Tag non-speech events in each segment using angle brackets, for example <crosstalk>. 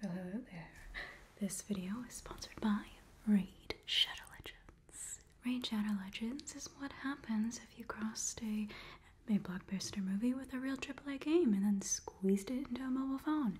hello there. This video is sponsored by Raid Shadow Legends. Raid Shadow Legends is what happens if you crossed a, a blockbuster movie with a real AAA game and then squeezed it into a mobile phone.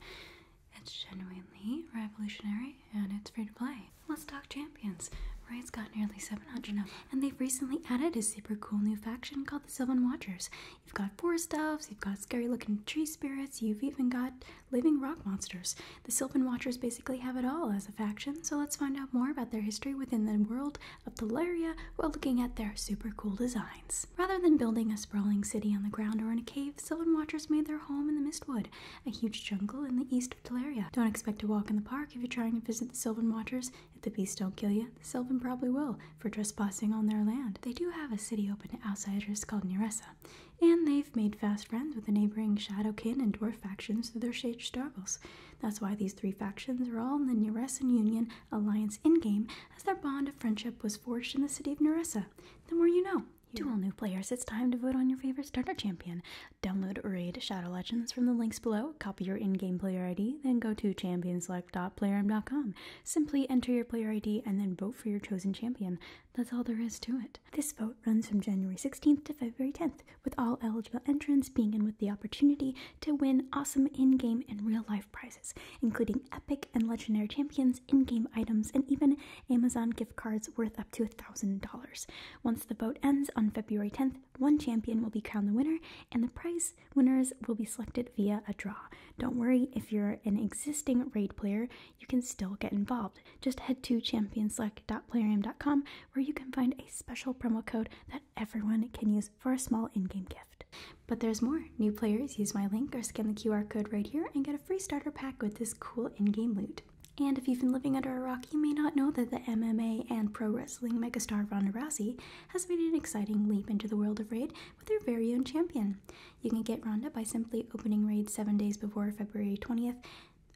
It's genuinely revolutionary and it's free to play. Let's talk champions. Raid's got nearly 700 now, and they've recently added a super cool new faction called the Sylvan Watchers. You've got forest stuffs, you've got scary looking tree spirits, you've even got living rock monsters. The Sylvan Watchers basically have it all as a faction, so let's find out more about their history within the world of Teleria while looking at their super cool designs. Rather than building a sprawling city on the ground or in a cave, Sylvan Watchers made their home in the Mistwood, a huge jungle in the east of Teleria. Don't expect to walk in the park if you're trying to visit the Sylvan Watchers. If the beasts don't kill you, the Sylvan probably will for trespassing on their land. They do have a city open to outsiders called Neresa, and they've made fast friends with the neighboring Shadowkin and Dwarf factions through their shared struggles. That's why these three factions are all in the Neresan Union Alliance in-game, as their bond of friendship was forged in the city of Neresa. The more you know. Here. To all new players, it's time to vote on your favorite starter champion. Download or raid Shadow Legends from the links below, copy your in-game player ID, then go to champions select.playerm.com. Simply enter your player ID and then vote for your chosen champion. That's all there is to it. This vote runs from January 16th to February 10th, with all eligible entrants being in with the opportunity to win awesome in-game and real-life prizes, including epic and legendary champions, in-game items, and even Amazon gift cards worth up to a $1,000. Once the vote ends on February 10th, one champion will be crowned the winner, and the prize winners will be selected via a draw. Don't worry if you're an existing raid player, you can still get involved. Just head to championselect.playerium.com where you can find a special promo code that everyone can use for a small in-game gift. But there's more. New players use my link or scan the QR code right here and get a free starter pack with this cool in-game loot. And if you've been living under a rock, you may not know that the MMA and pro wrestling megastar Ronda Rousey has made an exciting leap into the world of Raid with her very own champion. You can get Roundup by simply opening raids seven days before February 20th.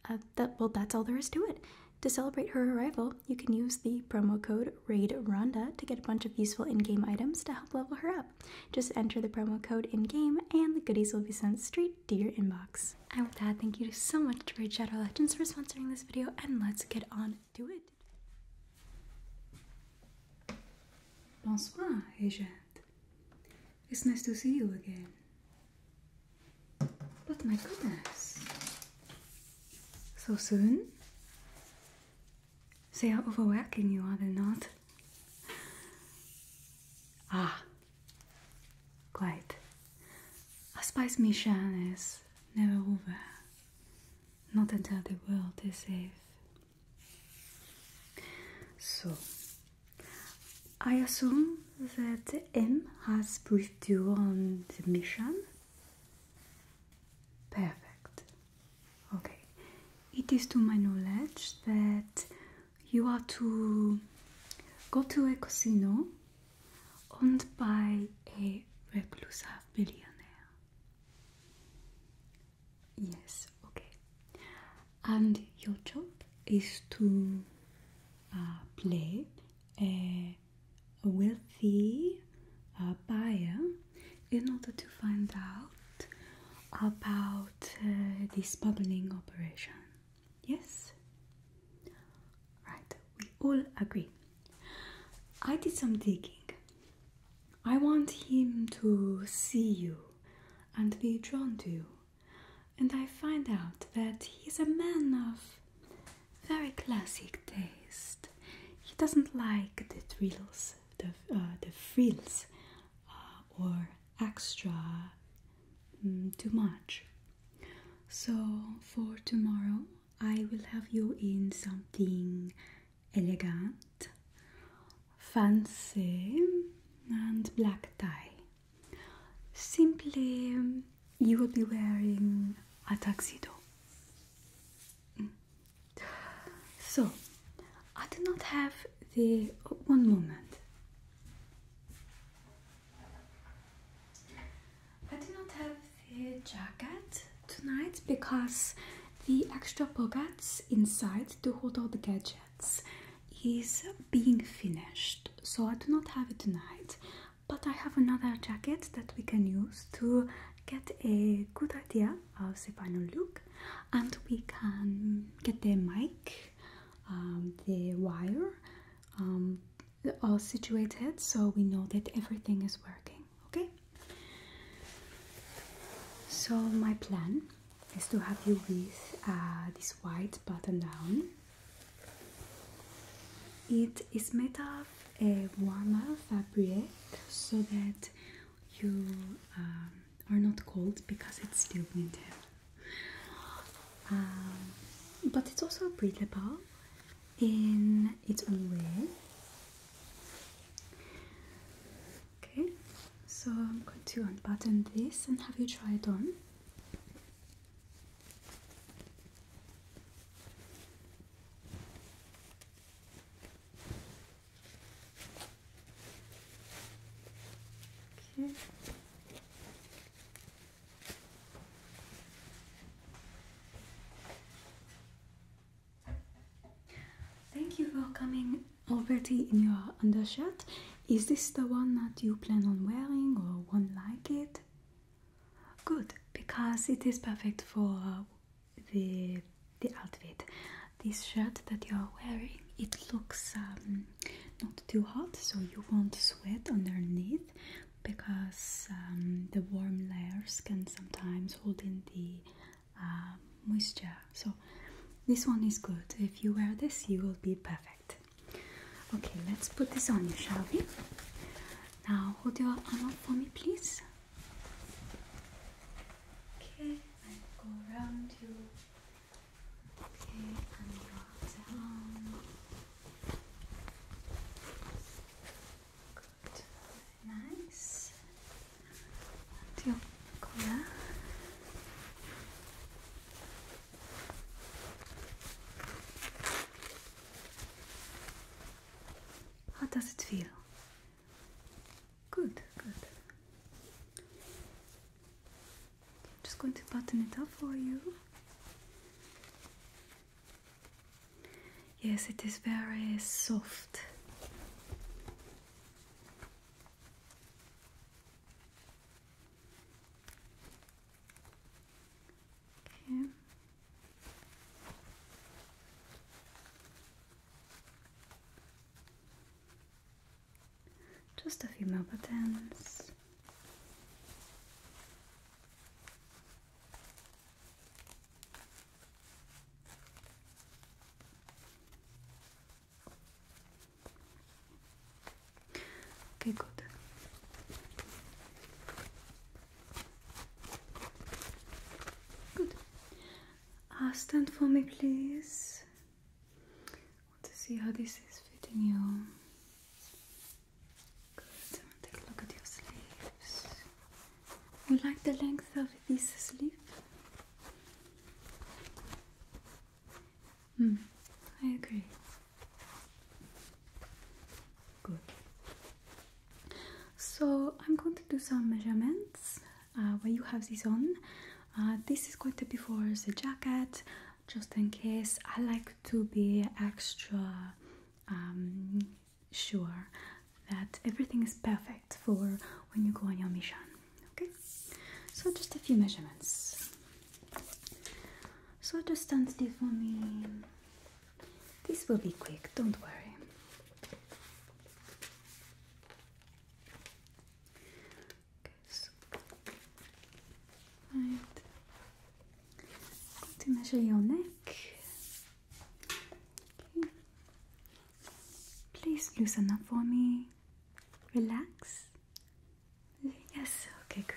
Uh, well, that's all there is to it. To celebrate her arrival, you can use the promo code RAIDRONDA to get a bunch of useful in-game items to help level her up. Just enter the promo code in-game and the goodies will be sent straight to your inbox. And with that, thank you so much to Raid Shadow Legends for sponsoring this video and let's get on to it. Bonsoir, agent. It's nice to see you again. But my goodness. So soon? They are overworking you, are they not? <laughs> Ah, quite. A spice mission is never over. Not until the world is safe so, I assume that M has briefed you on the mission. Perfect. Okay. It is to my knowledge that you are to go to a casino owned by a reclusive billionaire. Yes, okay. And your job is to uh, play a, wealthy uh, buyer in order to find out about uh, this the smuggling operation. Yes? Right, we all agree. I did some digging I want him to see you and be drawn to you. And I find out that he's a man of very classic taste. He doesn't like the thrills, the, uh, the frills, uh, or extra mm, too much. So for tomorrow, I will have you in something elegant, fancy, and black tie. Simply, um, you will be wearing a tuxedo. Mm. So, I do not have the uh, one moment. I do not have the jacket tonight because the extra pockets inside to hold all the gadgets is being finished. So I do not have it tonight, but I have another jacket that we can use to get a good idea of the final look and we can get the mic, um, the wire um, all situated so we know that everything is working okay? So, my plan is to have you with uh, this white button down. It is made of a warmer fabric so that you um, are not cold because it's still winter. Um, but it's also breathable in its own way. Okay, so I'm going to unbutton this and have you try it on. Okay. Thank you for coming already in your undershirt. Is this the one that you plan on wearing or won't like it? Good, because it is perfect for uh, the the outfit. This shirt that you're wearing, it looks um, not too hot, so you won't sweat underneath because um, the warm layers can sometimes hold in the uh, moisture. So this one is good. If you wear this, you will be perfect. Okay, let's put this on you, shall we? Now hold your arm up for me, please. Okay, and go around you. Okay, and your nice. And your collar. How does it feel? Good, good. just going to button it up for you. Yes, it is very soft. Okay. Just a few more buttons. Okay, good. Good. Uh, stand for me, please. I want to see how this is fitting you. Good. Take a look at your sleeves. You like the length of this sleeve? Hmm, I agree. Good. So I'm going to do some measurements uh, where you have this on. Uh, this is going to be for the jacket, just in case. I like to be extra um, sure that everything is perfect for when you go on your mission. Okay, so just a few measurements. So just stand still for me. This will be quick, don't worry. Okay, so. Right. going to measure your neck. Please loosen up for me. Relax. Yes, okay, good.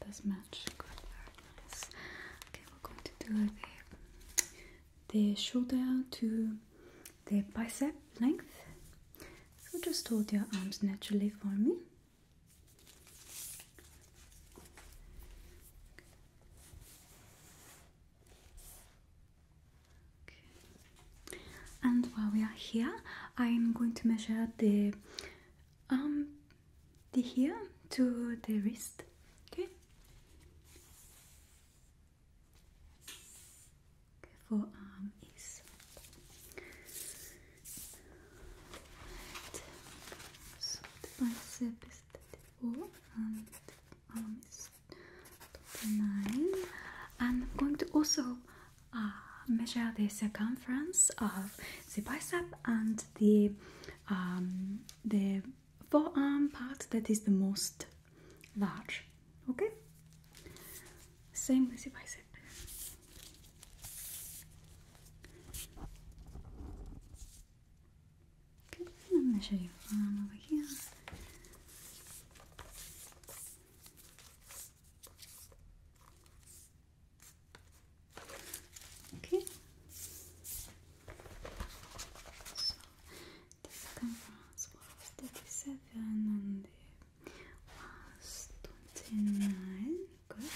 That does match. very nice. Okay, we're going to do the shoulder to the bicep length. So just hold your arms naturally for me. And while we are here, I'm going to measure the arm um, the here to the wrist okay forearm is so the bicep is 34 and the arm is 29 and I'm going to also uh, measure the circumference of the bicep and the um, the forearm part that is the most large. Okay, same as the bicep. Okay, I'm gonna show you arm over here. Okay. So the circumference was thirty-seven and the was twenty-nine. Good.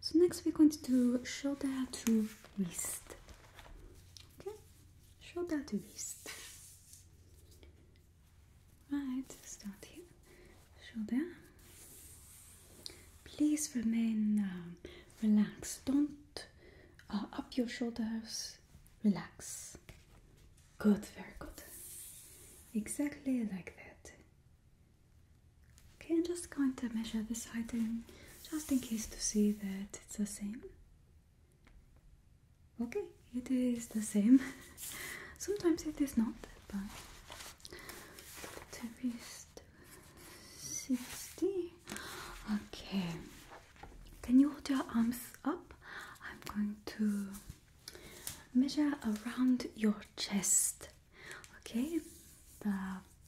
So next we're going to show that to wrist. Okay, show that to wrist. Right, start here shoulder. Please remain um, relaxed. Don't uh, up your shoulders. Relax. Good, very good. Exactly like that. Okay, I'm just going to measure this height in just in case to see that it's the same. Okay, it is the same. <laughs> Sometimes it is not, but there is Okay. Can you hold your arms up? I'm going to measure around your chest. Okay? The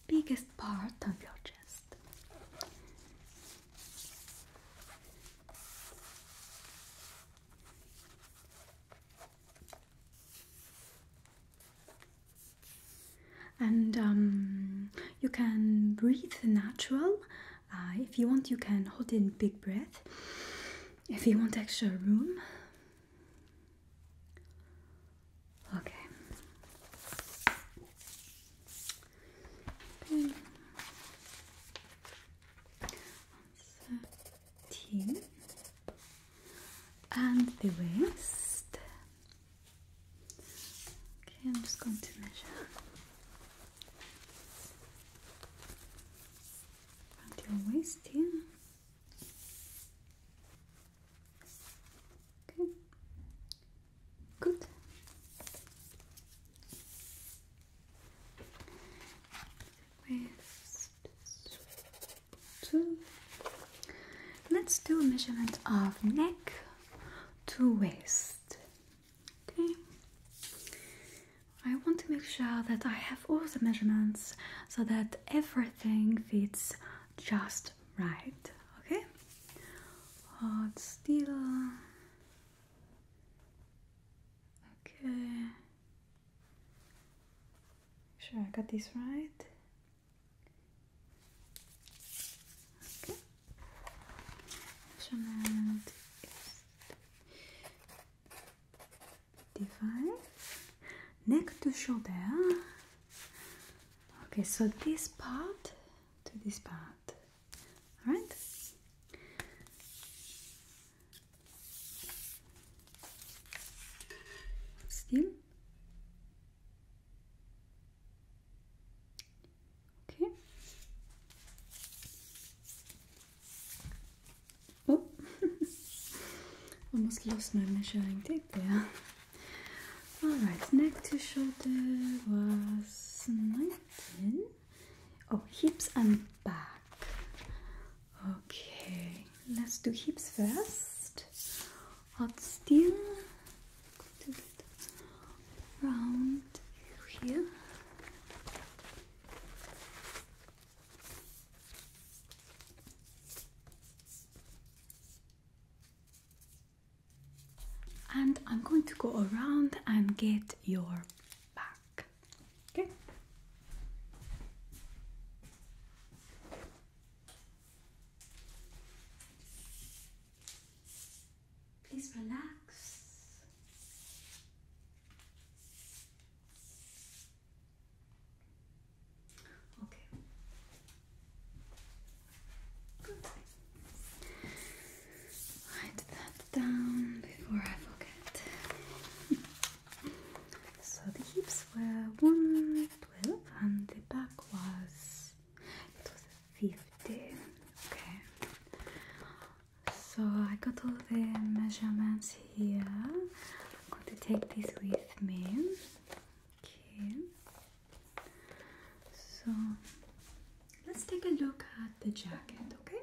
biggest part of your chest and um, you can breathe natural uh, if you want you can hold in big breath if you want extra room okay, okay and the waist. Okay, I'm just going to measure around your waist here. Okay, good. Waist let Let's do a measurement of neck to waist. Okay. I want to make sure that I have all the measurements so that everything fits just right. Okay. still. Okay. Make sure I got this right. Okay. Measurement is Neck to shoulder. Okay, so this part to this part. Alright? Still. Okay. Oh, almost lost my measuring tape there. Alright, neck to shoulder was 19. Oh, hips and back. Okay, let's do hips first. Hold still. Going here. And I'm going to go around and get your back. Okay. Please relax. Okay. Write that down before I forget. <laughs> so the hips legs were one twelve and the back was it was fifty. Okay. So I got all the measurements here. I'm going to take this with me. Okay. So let's take a look at the jacket, okay?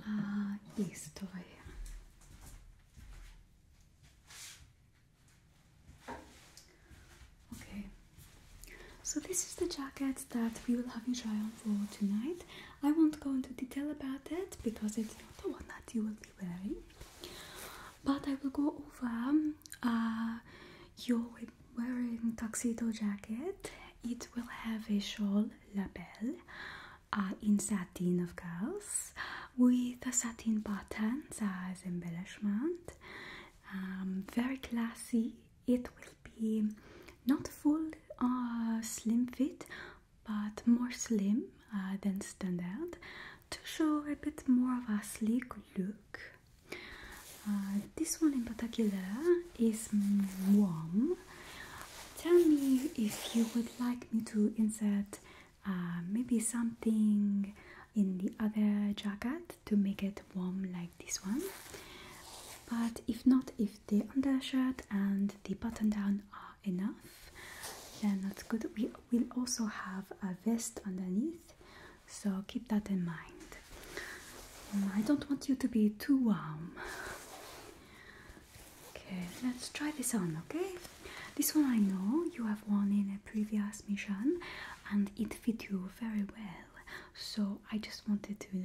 Ah, а, toy. Okay, so this is the jacket that we will have you try on for tonight. I won't go into detail about it because it's not the one that you will be wearing, but I will go over um, uh, your wearing tuxedo jacket. It will have a shawl label uh, in satin, of course, with a satin buttons as embellishment. Um, very classy. It will be not full uh, slim fit, but more slim uh, than standard to show a bit more of a sleek look. Uh, this one in particular is warm Tell me if you would like me to insert uh, maybe something in the other jacket to make it warm like this one. But if not, if the undershirt and the button down are enough, then that's good. We will also have a vest underneath, so keep that in mind. I don't want you to be too warm. Okay, let's try this on, okay? This one I know you have worn in a previous mission and it fit you very well. So I just wanted to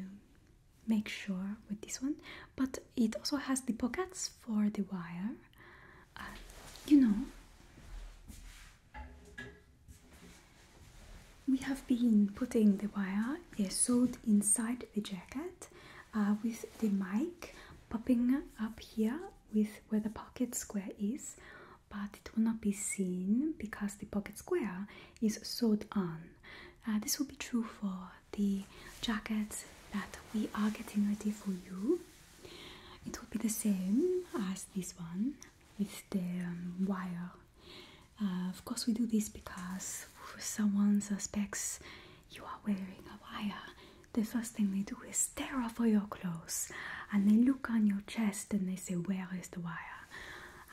make sure with this one. But it also has the pockets for the wire. Uh, you know, we have been putting the wire uh, sewed inside the jacket uh, with the mic popping up here with where the pocket square is but it will not be seen because the pocket square is sewed on. Uh, this will be true for the jackets that we are getting ready for you. It will be the same as this one with the um, wire. Uh, of course, we do this because someone suspects you are wearing a wire. the first thing they do is tear off all your clothes and they look on your chest and they say, Where is the wire?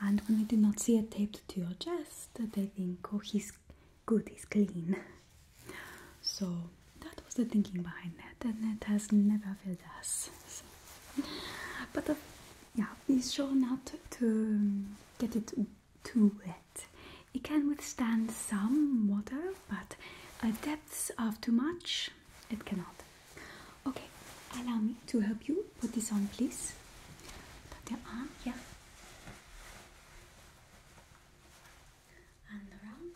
And when they do not see it taped to your chest, they think, Oh, he's good, he's clean. So that was the thinking behind that, and that has never failed us. But uh, yeah, be sure not to get it too wet. It can withstand some water, but at depths of too much, it cannot. Okay, allow me to help you put this on, please. Put your arm, yeah. And around.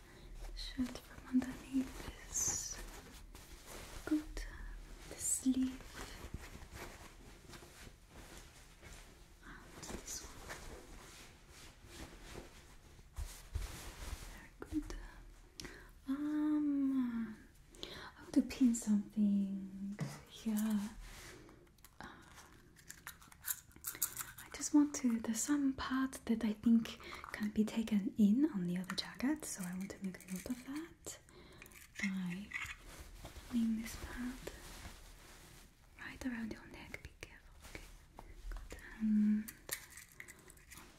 shirt from underneath is good. The sleeve and this one. Very good. Um, I want to pin something. Yeah. I just want to, there's some part that I think can be taken in on the other jacket, so I want to make a note of that by pulling this part right around your neck. Be careful, okay? Good. on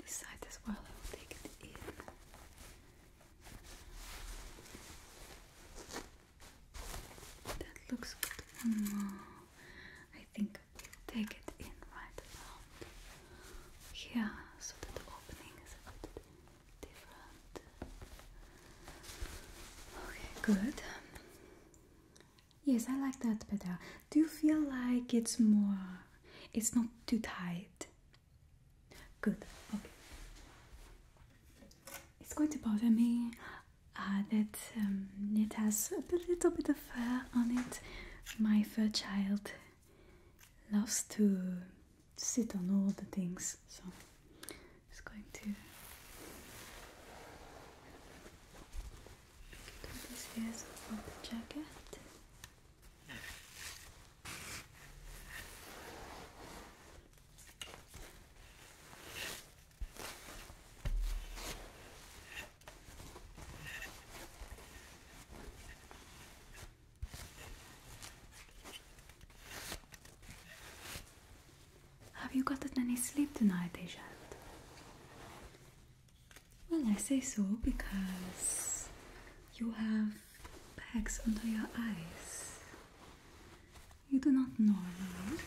this side as well, I will take it in. That looks good. I think we'll take it in right around here so that the opening is a bit different. Okay, good. Yes, I like that better. Do you feel like it's more, it's not too tight? Good, okay. It's going to bother me uh, that um, it has a little bit of fur on it. My fur child loves to sit on all the things, so just going to put this here of the jacket. Have you gotten any sleep tonight, Agent? Well, I say so because you have bags under your eyes. You do not normally.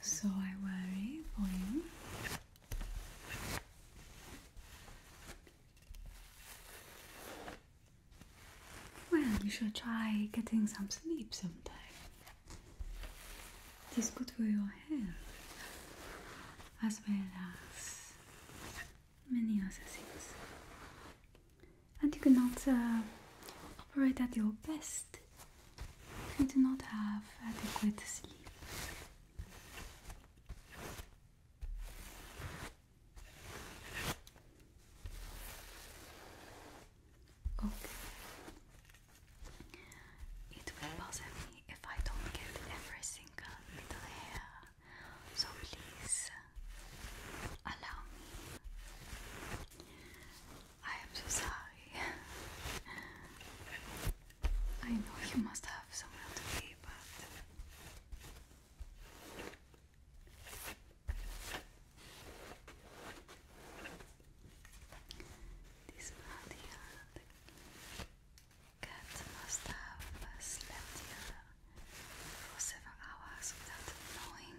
So I worry for you. Well, you should try getting some sleep sometime. This could for your health as well as many other things and you cannot operate at your best if you do not have adequate sleep. Okay. It will bother me if I don't get every single little hair, so please allow me. I am so sorry. I know you must have somewhere to be, but this party cat must have slept here for several hours without knowing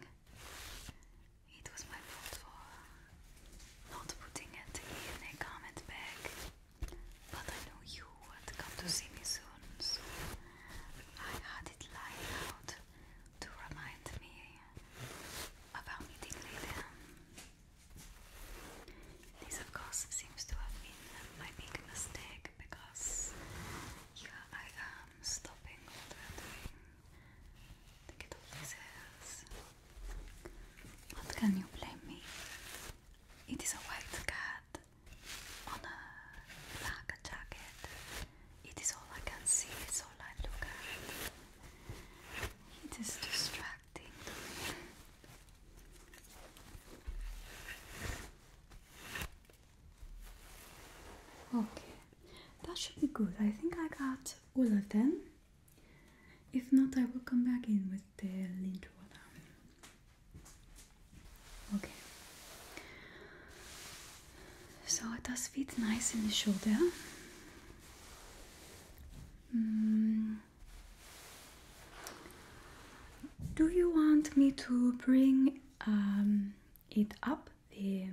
it was my fault for not putting it in a comment bag, but I knew you would come to see me soon, so I had it lying out to remind me about meeting later. This, of course, seems to have been my big mistake because I am stopping all that doing to get all this What can you blame me? It is a white cat on a black jacket. It is all I can see, it's I look at. It is distracting Okay, that should be good. I think I got all of them. If not, I will come back in with the lint Okay. So it does fit nice in the shoulder. Hmm. Do you want me to bring um, it up the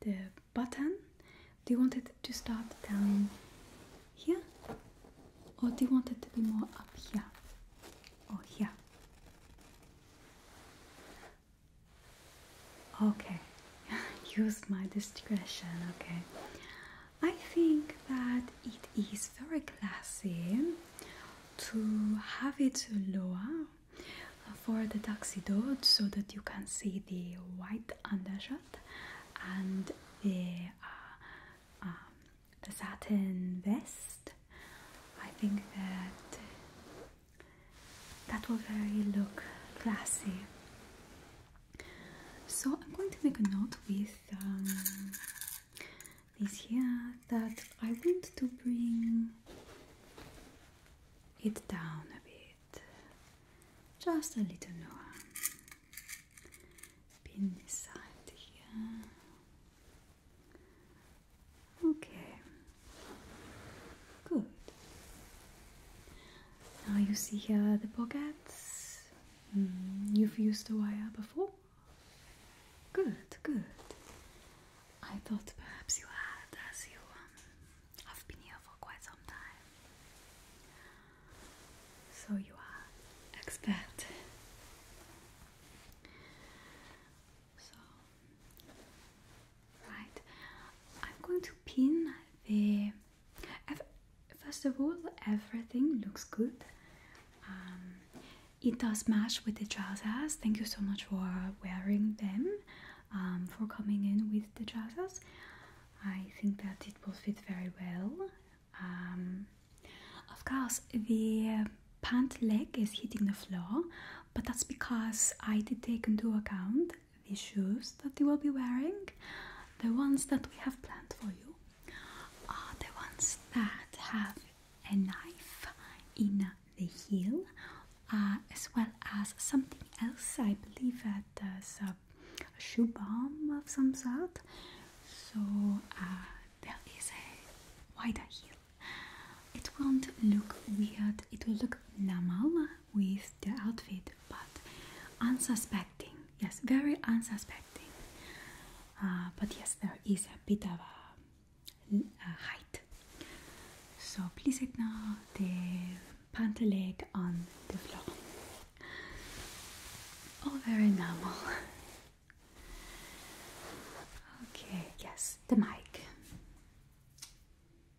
the button. Do you want to start down here? Or do you want to be more up here? Or here? Okay, <laughs> use my discretion, okay. I think that it is very classy to have it lower for the tuxedo so that you can see the white undershirt and the, uh, um, the satin vest. I think that that will very look classy. So I'm going to make a note with um, this here that I want to bring it down a bit, just a little more. Pin this side here. Okay, good. Now you see here the pockets. Mm, you've used the wire before? Good, good. I thought perhaps you had, as you um, have been here for quite some time. So you are expert. So, right, I'm going to pin the. First of all, everything looks good. Um, it does match with the trousers. Thank you so much for wearing them, um, for coming in with the trousers. I think that it will fit very well. Um, of course, the pant leg is hitting the floor, but that's because I did take into account the shoes that you will be wearing, the ones that we have planned for you, are the ones that have a knife in the heel, uh, as well as something else. I believe that a, shoe bomb of some sort. So uh, there is a wider heel. It won't look weird. It will look normal with the outfit, but unsuspecting. Yes, very unsuspecting. Uh, but yes, there is a bit of a uh, height. So please ignore the pantalade on the floor. very normal. Okay, yes, the mic.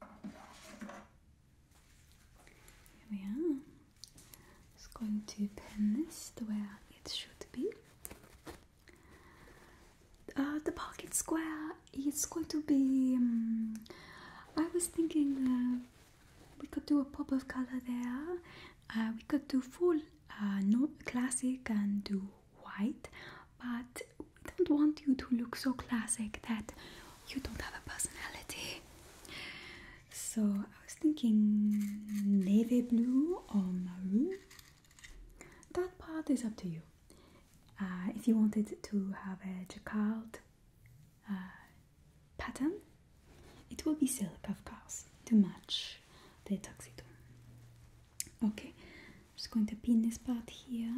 Here we are. Just going to pin this to where it should be. Uh, the pocket square is going to be. Um, I was thinking uh, we could do a pop of color there. Uh, we could do full no classic and do white, but we don't want you to look so classic that you don't have a personality. So I was thinking navy blue or maroon. That part is up to you. Uh, if you wanted to have a jacquard uh, pattern, it will be silk, of course, to match the tuxedo. Okay, just going to pin this part here.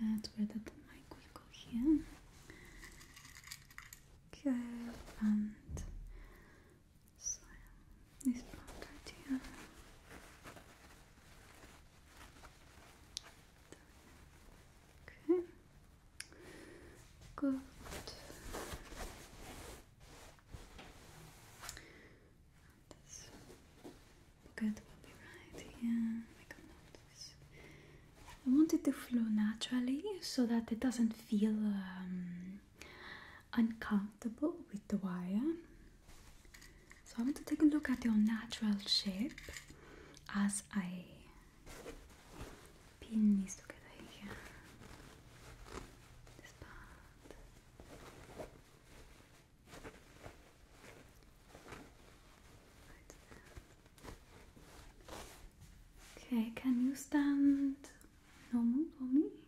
That's where the mic will go here. Okay, so this part here. Okay. Good. This pocket will be right here. I want it to flow naturally so that it doesn't feel uncomfortable with the wire. So I want to take a look at your natural shape as I pin these together here. This part. okay, can you stand No normal for me?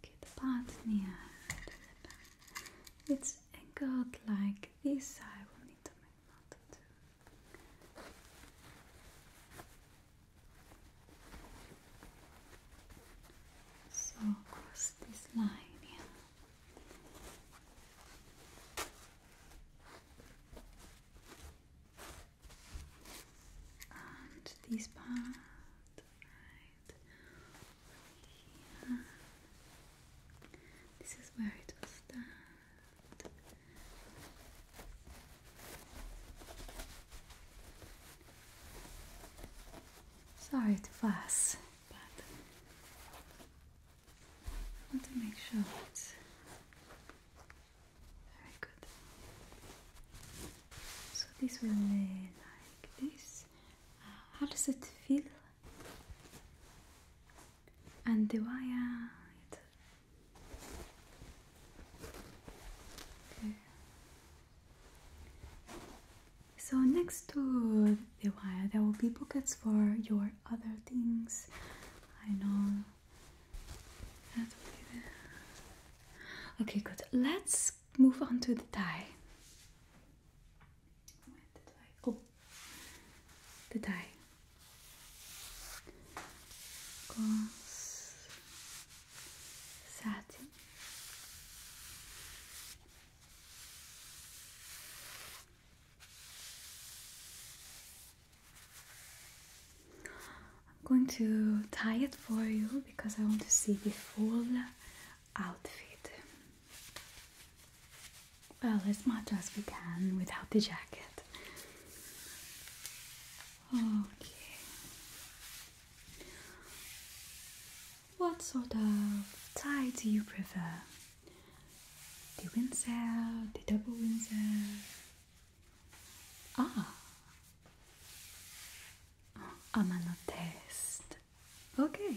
Okay, the part near the back. like this. I will need to make note of So across this line here and this part right here. This is where it will start. Sorry to fuss, but I want to make sure it's very good. So this will lay like this. Uh, how does it feel? And the wire. okay. So next to be a There will be buckets for your other things. I know. Okay, good. Let's move on to the tie. Oh, the tie. Gauze, satin. I'm going to tie it for you because I want to see the full outfit. Well, as much as we can without the jacket. Okay. What sort of tie do you prefer? the Windsor, the double Windsor. Ah, I'm Amano test. Okay.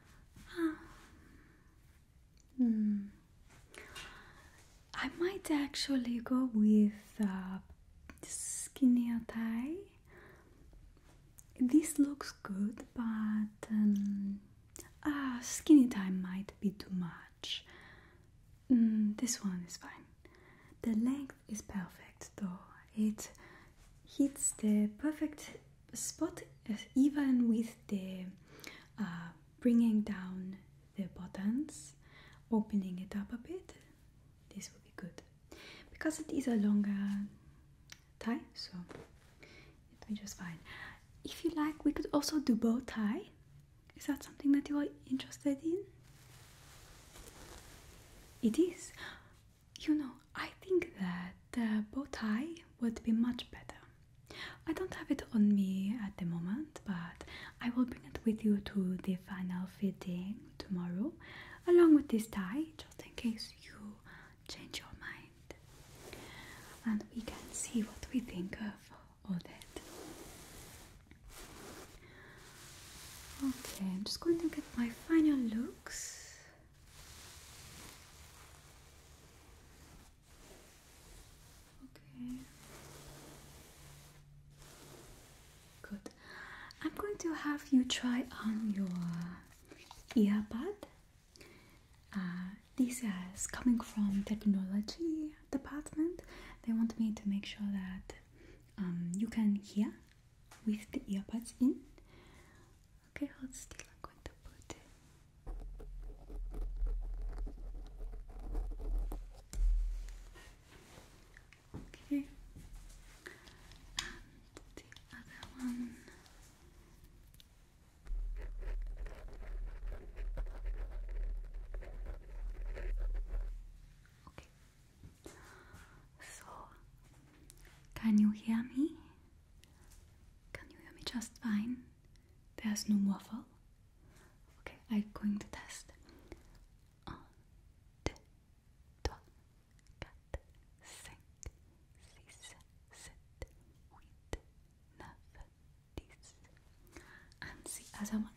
Hmm. I might actually go with uh, skinnier tie. This looks good, but um, ah, skinny tie might be too much. Hmm, this one is fine. The length is perfect, though. It hits the perfect spot even with the uh, bringing down the buttons opening it up a bit this will be good because it is a longer tie so it will be just fine if you like we could also do bow tie is that something that you are interested in it is you know, I think that the bow tie would be much better. I don't have it on me at the moment, but I will bring it with you to the final fitting tomorrow, along with this tie, just in case you change your mind. And we can see what we think of all that. Okay, I'm just going to get my final looks Okay. Good. I'm going to have you try on your earbud. Uh, this is coming from technology department. They want me to make sure that um, you can hear with the earbuds in. Okay, hold still. I'm going to put it. Okay, and the other one. Okay. So, can you hear me? Can you hear me just fine? There's no waffle. Okay, I'm going to test. Un, deux, And the other one.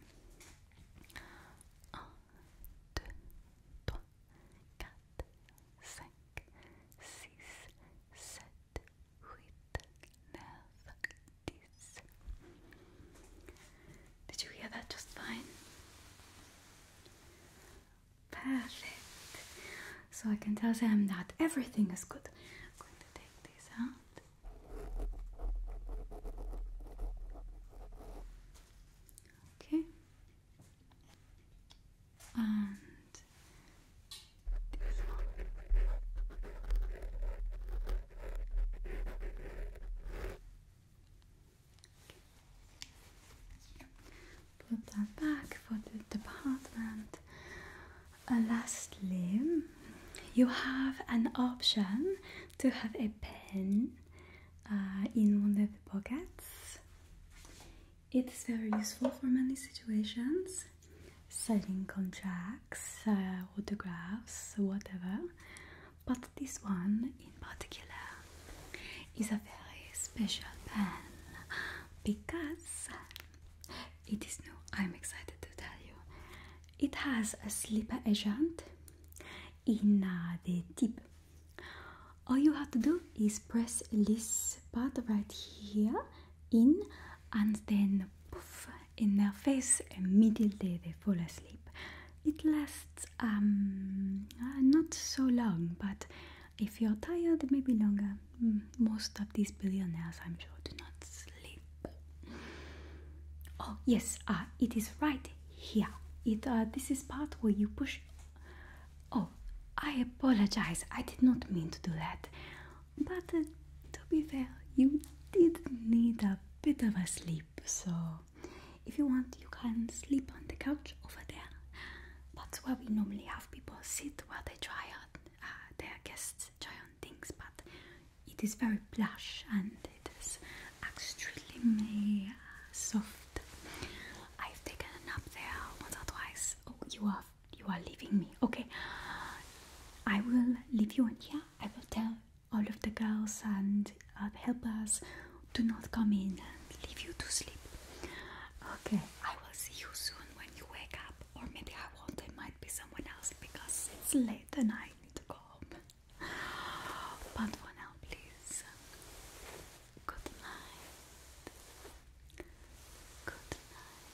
Un, deux, trois, 5, Did you hear that just fine? Perfect. So I can tell them that everything is good. I'm going to take these out. Okay and this one. Put that back for the department. lastly, you have an option to have a pen uh, in one of the pockets. It is very useful for many situations, signing contracts, uh, autographs, whatever. But this one in particular is a very special pen because it is new. I'm excited to tell you. It has a slipper agent in uh, the tip all you have to do is press this part right here in and then poof in their face immediately they fall asleep it lasts um, uh, not so long but if you're tired maybe longer mm, most of these billionaires i'm sure do not sleep oh yes uh, it is right here it uh, this is part where you push Oh, I apologize. I did not mean to do that. But uh, to be fair, you did need a bit of a sleep, so if you want, you can sleep on the couch over there. That's where we normally have people sit while they try out uh, their guests try on things, but it is very plush and it is extremely uh, soft I've taken a nap there once or twice. Oh, you are you are leaving me. Okay, I will leave you in here. I will tell all of the girls and uh, help us helpers do not come in and leave you to sleep. Okay, I will see you soon when you wake up, or maybe I won't. There might be someone else because it's late and I need to go home. But for now, please Good night. Good night.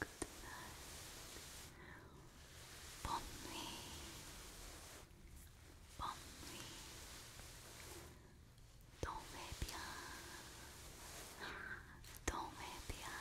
Good night. Bon nuit. Bon nuit. Dormez bien. Dormez bien.